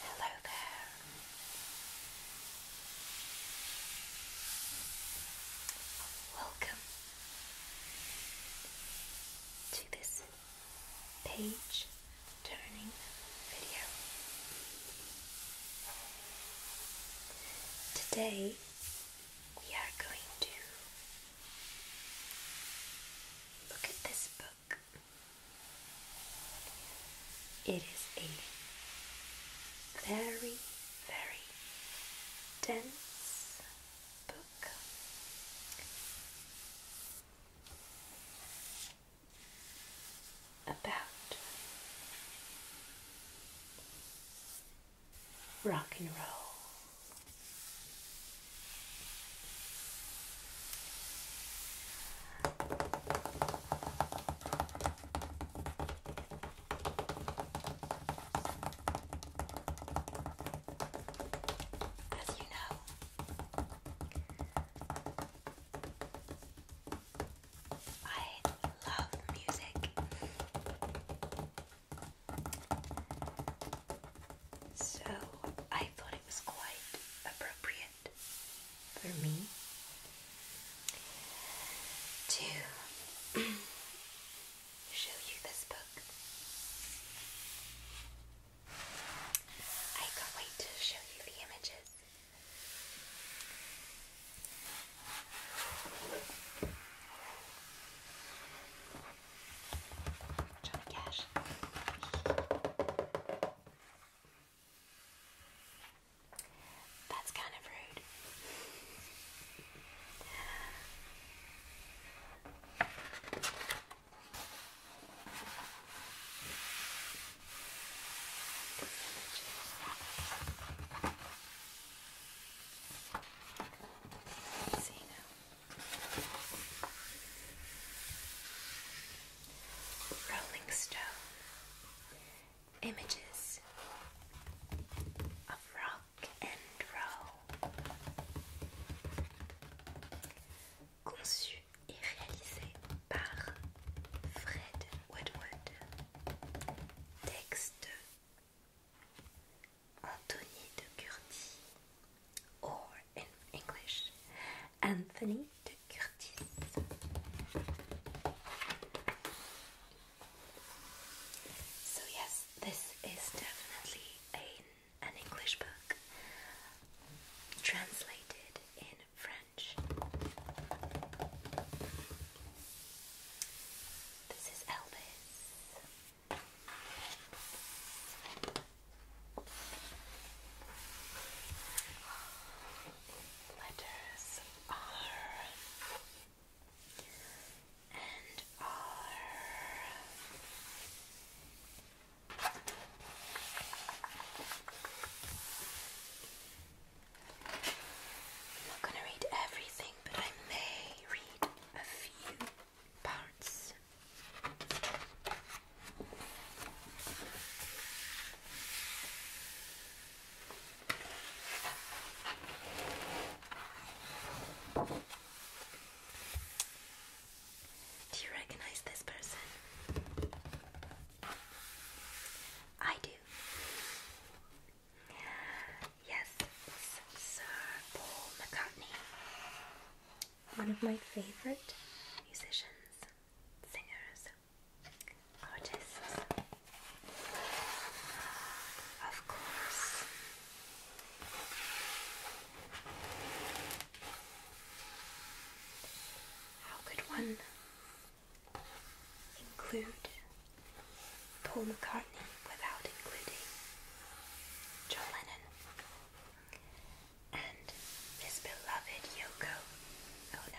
Hello there. Welcome to this page turning video. Today we are going to look at this book. It is a very, very dense book. About rock and roll. As you know, I love music. So I thought it was quite appropriate for me to show you this book. I can't wait to show you the images. Johnny Cash. That's kind of rude. This image is Let's Rolling Stone images of rock and roll conçu et réalisé par Fred Woodward texte Anthony de Curtis, or in English, Anthony de Curtis. So, yes, this is definitely a, an English book translated in French. This is Elvis. Letters are and R. not going to read everything, but I may do you recognize this person? I do. Yes, Sir Paul McCartney, one of my favorite musicians, singers, artists. Of course. How could one include Paul McCartney without including John Lennon. And his beloved Yoko. Oh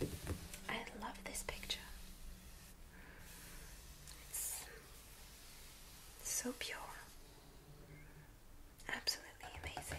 no. I love this picture. It's so pure. Absolutely amazing.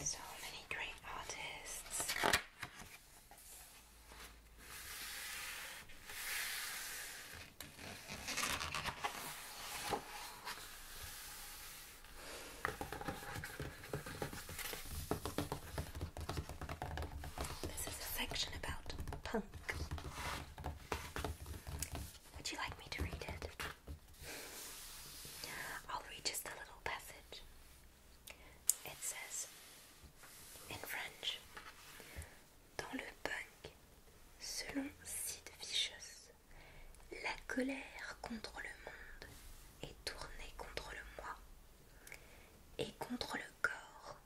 So many great artists. This is a section about punk. Would you like me to read it? I'll read just a little passage. It says in French Dans le punk, selon Sid Vicious, la colère contre le monde est tournée contre le moi et contre le corps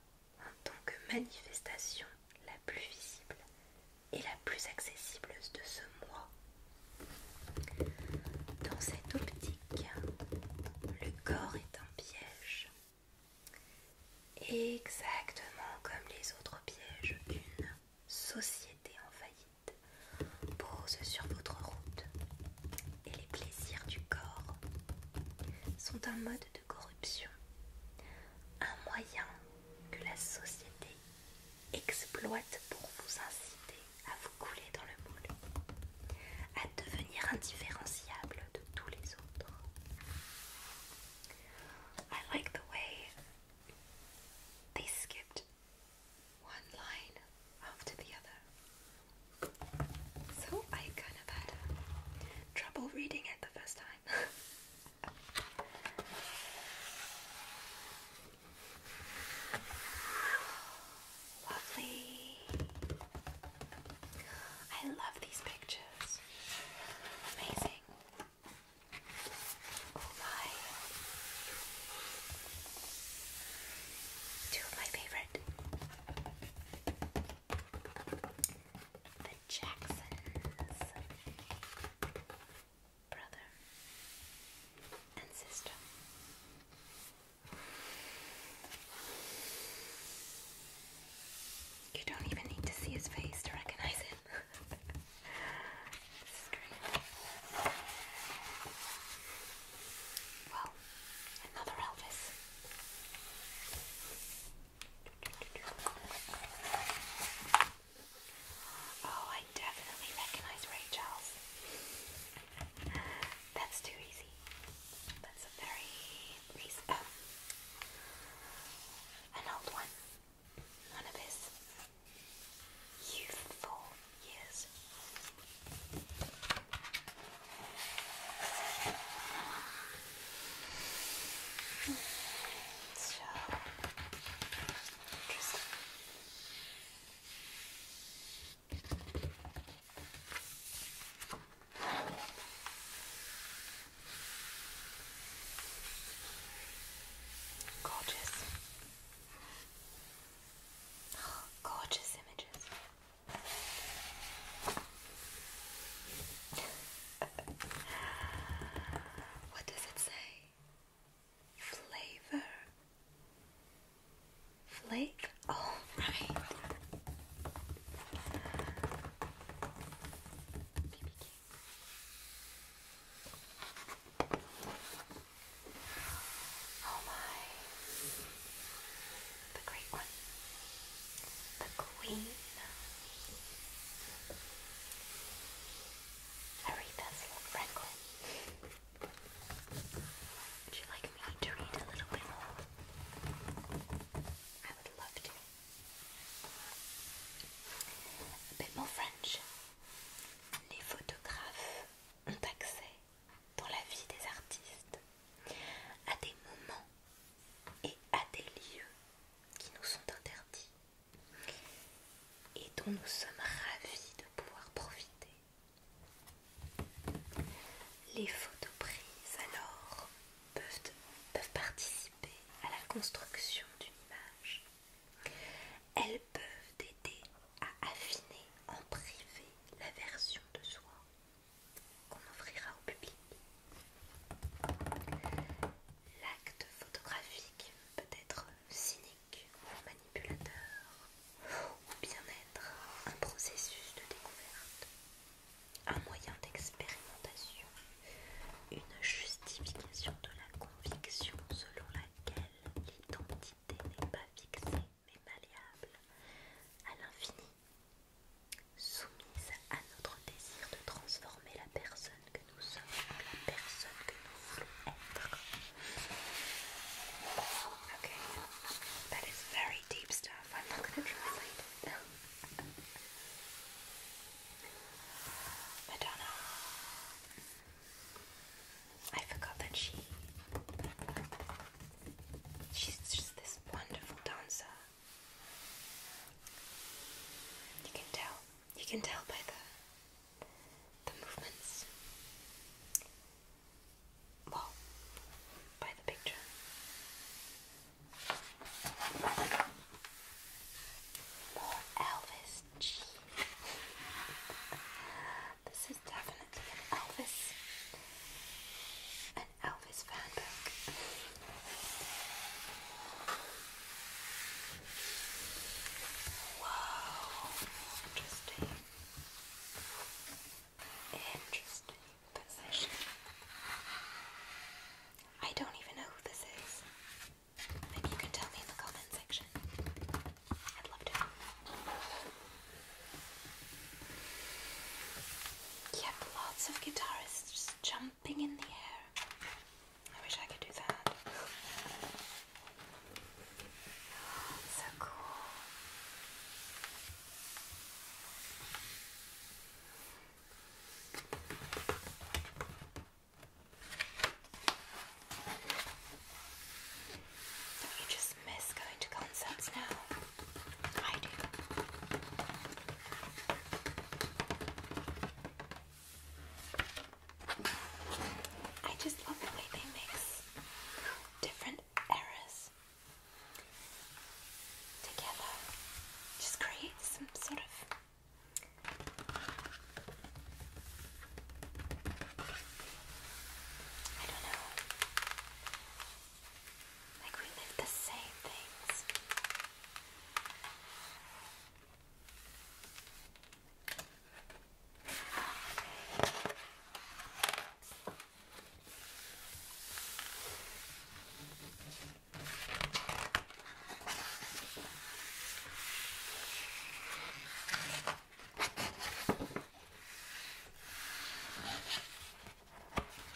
en tant que manifestation la plus visible ...et la plus accessible de ce mois. Dans cette optique, le corps est un piège. Exactement comme les autres pièges, une société en faillite pose sur votre route et les plaisirs du corps sont un mode de corruption, un moyen que la société exploite pour vous inciter à vous couler dans le moule, à devenir indifférenciable de tous les autres. I like the way they skipped one line after the other. So I kind of had trouble reading it the first time. Lovely. I love these pictures. Amazing. Oh Two of my favorite. The Jacksons brother, and sister. You don't even need to see his face to recognize it. Well, another Elvis. Oh, I definitely recognize Rachel's. That's too easy. That's a very recent, um, an old one. One of his youthful years. So interesting. Gorgeous. gorgeous images. what does it say? flavor flake all oh, right Oh my the great one the queen Aretha's Franklin Would you like me to read a little bit more? I would love to. A bit more French. Les photographes ont accès dans la vie des artistes à des moments et à des lieux qui nous sont interdits et dont nous sommes ravis de pouvoir profiter. Les photos prises alors peuvent, participer à la construction d'une image. Elles peuvent aider à affiner en privé la version de soi qu'on offrira au public. L'acte photographique peut être cynique manipulateur ou bien-être un processus de découverte, un moyen d'expérimentation, une justification de la conviction selon laquelle l'identité n'est pas fixée mais malléable à l'infini, soumise à notre désir de transformer la personne que nous sommes en la personne que nous Okay, that is very deep stuff. I'm not going to translate Madonna. I forgot that she. She's just this wonderful dancer. You can tell. You can tell by the the movements. Well, by the picture. More Elvis this is definitely an Elvis. An Elvis fan book. Wow, interesting. Interesting position. I don't even know who this is. Maybe you can tell me in the comment section. I'd love to. Yep, lots of guitarists just jumping in the air. I wish I could do that. Oh, so cool. Don't you just miss going to concerts now? I do. I just love the way they mix different eras together. Just create some sort of I don't know. Like we live the same things.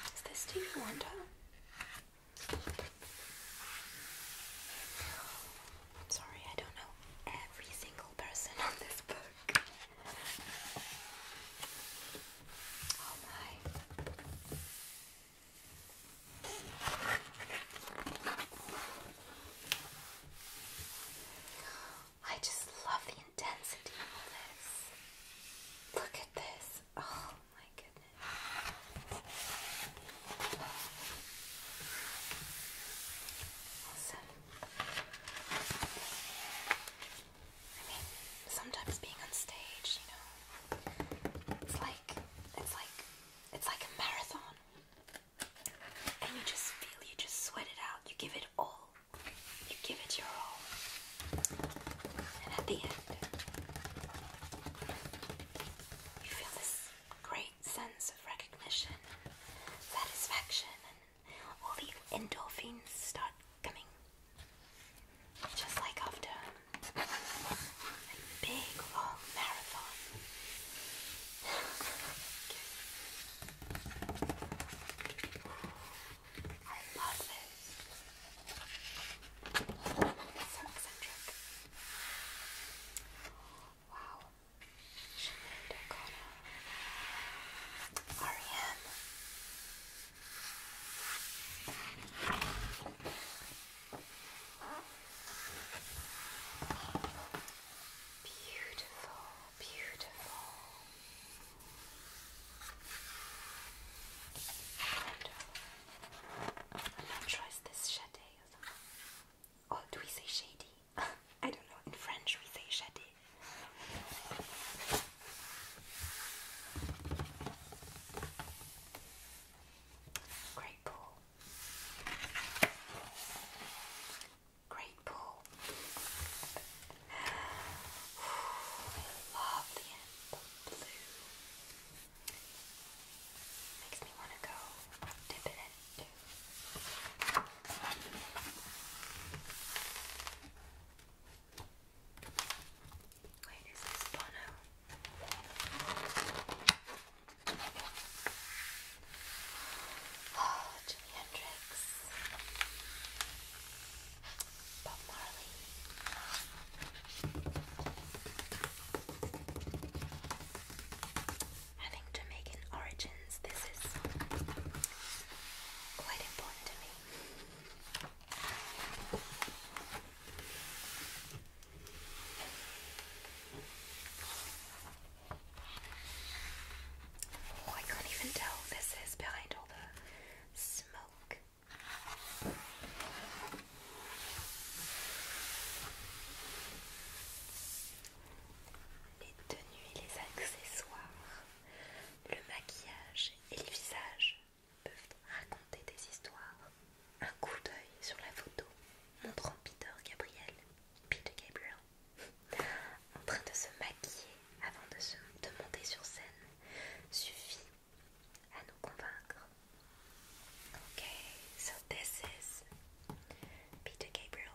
Is this Stevie Wonder? I'm Sorry, I don't know every single person on this book. Oh my. I just love the intensity of this. Look at this. Oh my goodness. Awesome. I mean, sometimes being on stage, you know, it's like it's like it's like a marathon, and you just feel, you just sweat it out, you give it all, you give it your all, and at the end, you feel this great sense of recognition, satisfaction, and all the endorphins start coming. Just like after a big long marathon. I love this. So eccentric. Wow. Sinead R.E.M. Beautiful, beautiful. I'm not this shade Oh, do we say shady? I don't know, in French we say shadi. Great pool. Great pool. I love the amber blue. Makes me want to go dip in Wait, is this Bono? Oh, Jimi Hendrix. Bob Marley having Jamaican origins. This is quite important to me. Oh, I can't even tell this is behind all the smoke. le maquillage et les visages peuvent raconter des histoires. Un coup d'œil sur la photo montrant Peter Gabriel, Peter Gabriel, en train de se maquiller avant de, monter sur scène suffit à nous convaincre. Ok, so this is Peter Gabriel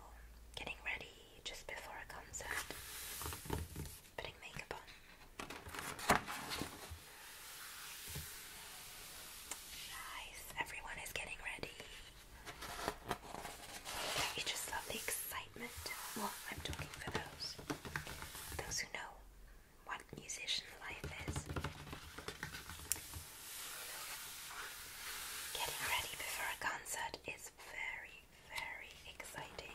getting ready just before a concert, putting makeup on. Guys, everyone is getting ready. you just love the excitement? Well, I'm talking for those. Those who know what musician life is. Getting ready before a concert is very, very exciting.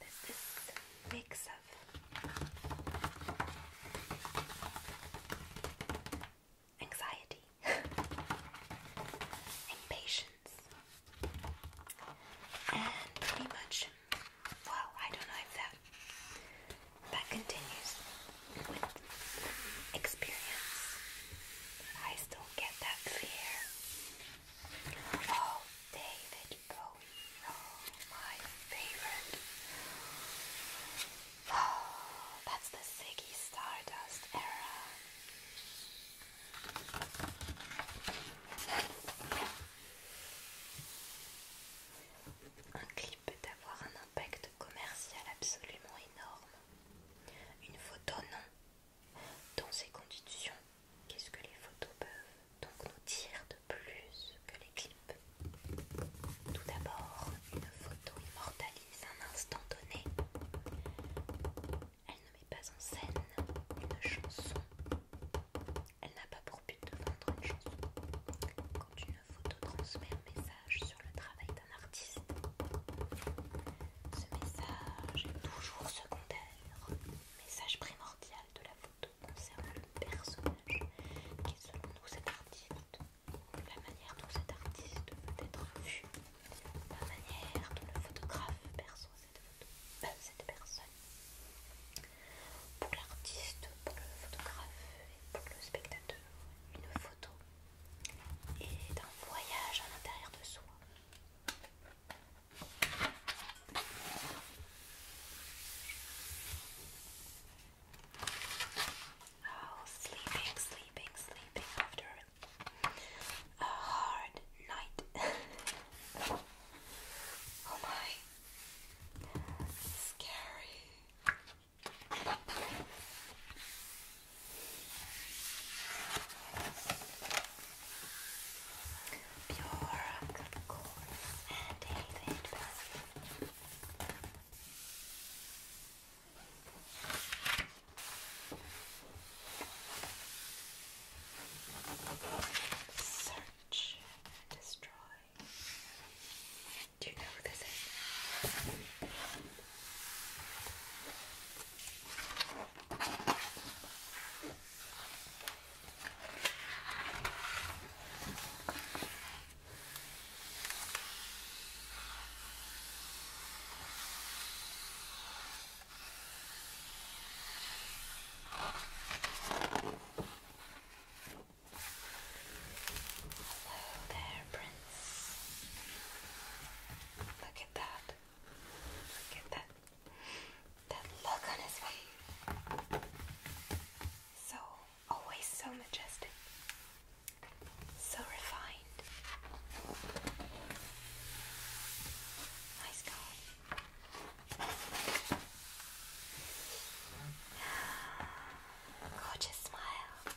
There's this mix of anxiety, impatience, and pretty much, well, I don't know if that that continues with experience, I still get that fear. Oh, David Bowie, oh, my favorite. Oh, that's the Ziggy Stardust era. Un clip peut avoir un impact commercial absolument énorme. Une photo non, Dans ces conditions, qu'est-ce que les photos peuvent donc nous dire de plus que les clips Tout d'abord, une photo immortalise un instant donné. Elle ne met pas en scène une chanson. Elle n'a pas pour but de vendre une chanson. Quand une photo transmet un message sur le travail d'un un artiste. Ce message est toujours secondaire, message primordial de la photo concerne le personnage qui est selon nous cet artiste, la manière dont cet artiste peut être vu, la manière dont le photographe perçoit cette, photo, euh, cette personne. Pour l'artiste, pour le photographe et pour le spectateur, une photo est un voyage à l'intérieur de soi, Oh, sleeping, sleeping, sleeping after a hard night. oh my, scary. Pure Capricorn and David Basil. Search and destroy. Do you know who this is? Hello there, Prince. Look at that. Look at that that look on his face. So always so majestic. So refined. Nice guy. Gorgeous smile.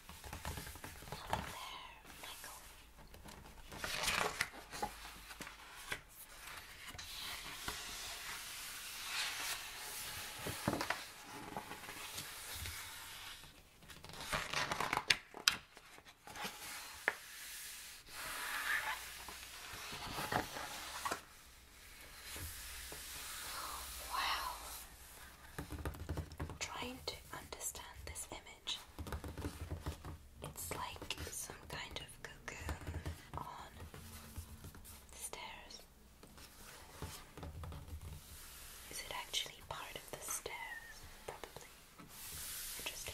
Hello there, Michael. Wow. Trying to understand this image it's like some kind of cocoon on the stairs. Is it actually part of the stairs? Probably. Interesting.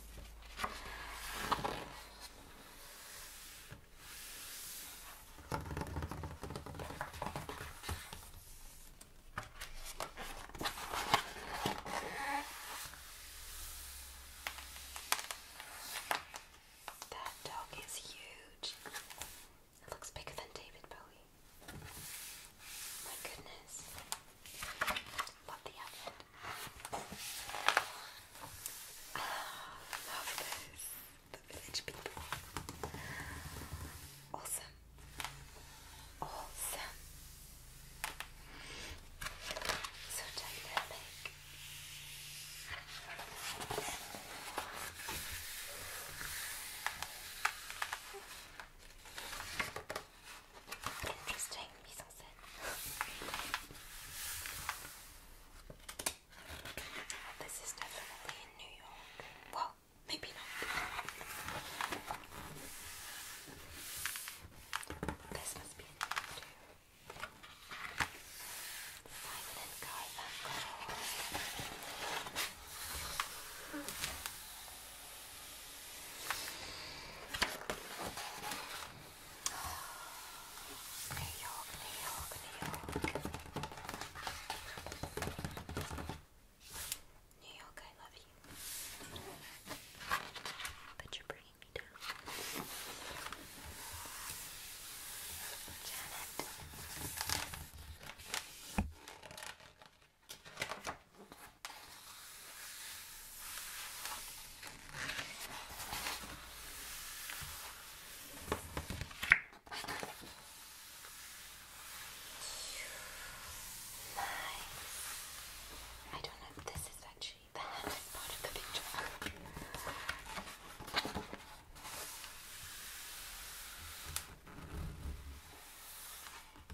That dog is huge. It looks bigger than David Bowie. My goodness. Love the outfit. Ah, love this. The village people. Awesome. Awesome. So dynamic. Interesting this is definitely in New York. Well, maybe not. This must be in New York too. New York, New York, New York. New York, I love you. But you're bringing me down. Janet. I don't know if this is actually the hardest part of the picture.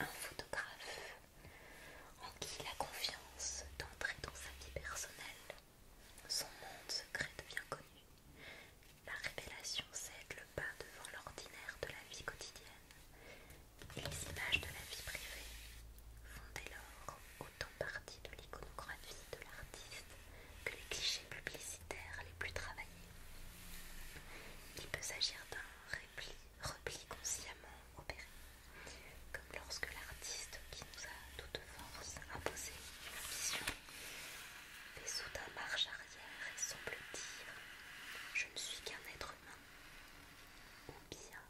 un photographe en qui la confiance d'entrer dans sa vie personnelle, son monde secret devient connu. La révélation cède le pas devant l'ordinaire de la vie quotidienne et les images de la vie privée font dès lors autant partie de l'iconographie de l'artiste que les clichés publicitaires les plus travaillés. Il peut s'agir d'un réplique repli consciemment opéré, comme lorsque l'artiste qui nous a toute force imposé une vision fait soudain marche arrière et semble dire Je ne suis qu'un être humain. combien bien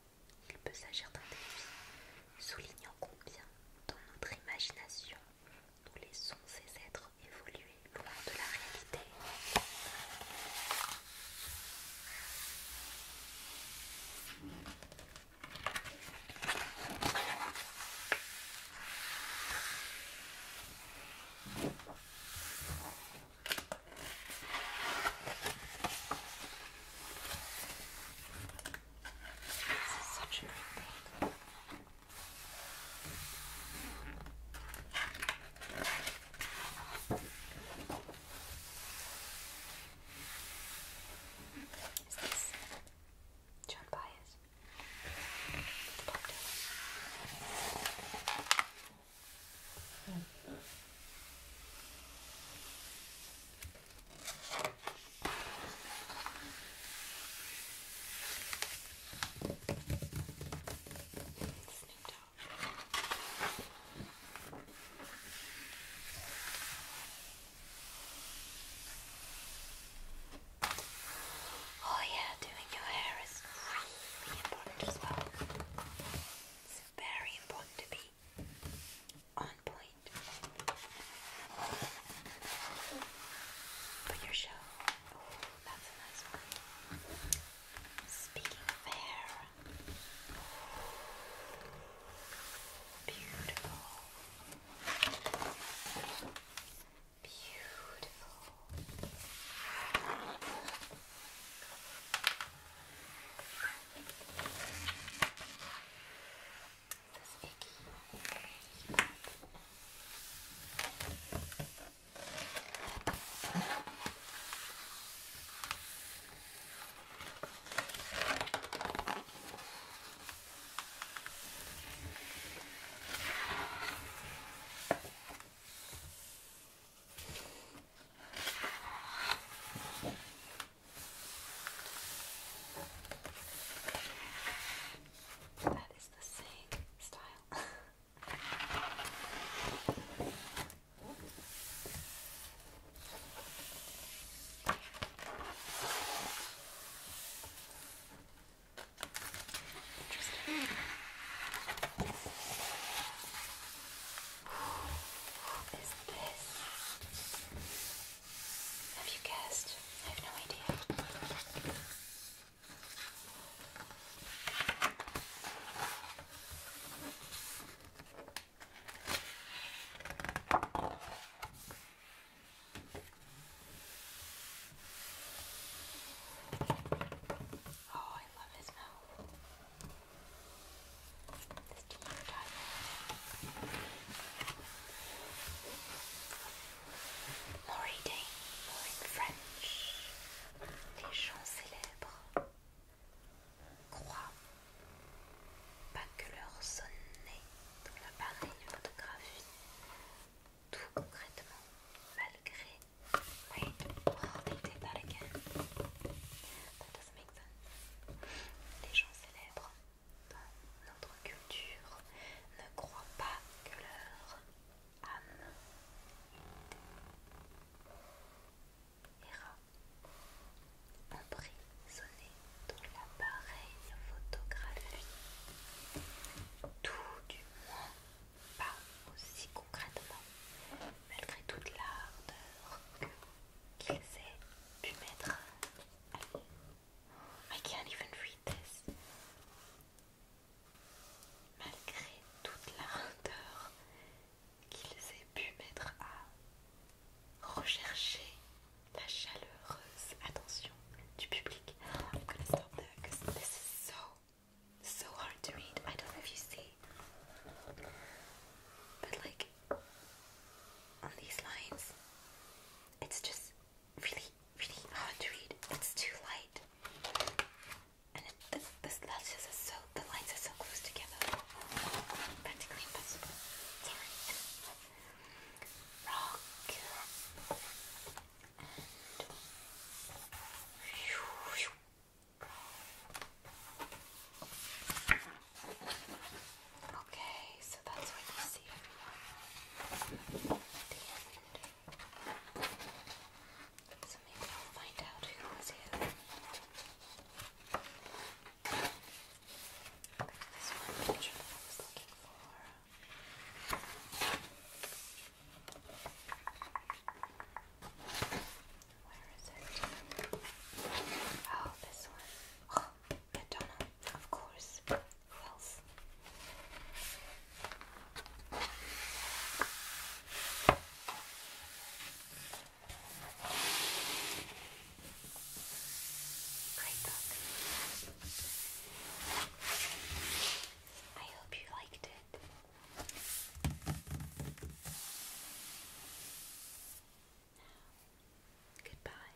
il peut s'agir d'un défi, soulignant combien dans notre imagination nous laissons ces êtres évoluer de la réalité. such a Is this John Byers? Bob Dylan. Mm. Snoop Oh, yeah, doing your hair is really important as well. It's very important to be on point for your show that's a nice one. Speaking of hair, beautiful, beautiful. That is the same style. Interesting. Who is this? Have you guessed? I have no idea. Oh, I love his mouth. This diet. Laurie Day, Laurie French, les chants célèbres croit pas que leur sonne dans l'appareil photographie. Tout concrètement, malgré. les oh, par laquelle Les gens célèbres dans notre culture ne croient pas que leur âme et rats emprisonnés prisonné dans l'appareil photographique. tout du moins pas aussi concrètement, malgré toute l'ardeur qu'il qu'ils aient pu mettre à lui. I can't even read this. Malgré toute l'ardeur qu'ils aient pu mettre à rechercher la chaleureuse attention du public. I'm gonna stop there parce this is so, so hard to read. I don't know if you see, but like on these lines, it's just really, really hard to read. It's too light. And it, this, this is so, the lines are so close together. Practically impossible. Sorry. Rock. And. Okay, so that's what you see so maybe I'll find out who was who. This one picture that I was looking for. Where is it? Oh, this one. Oh, Madonna, of course. Who else? Great book. I hope you liked it. goodbye.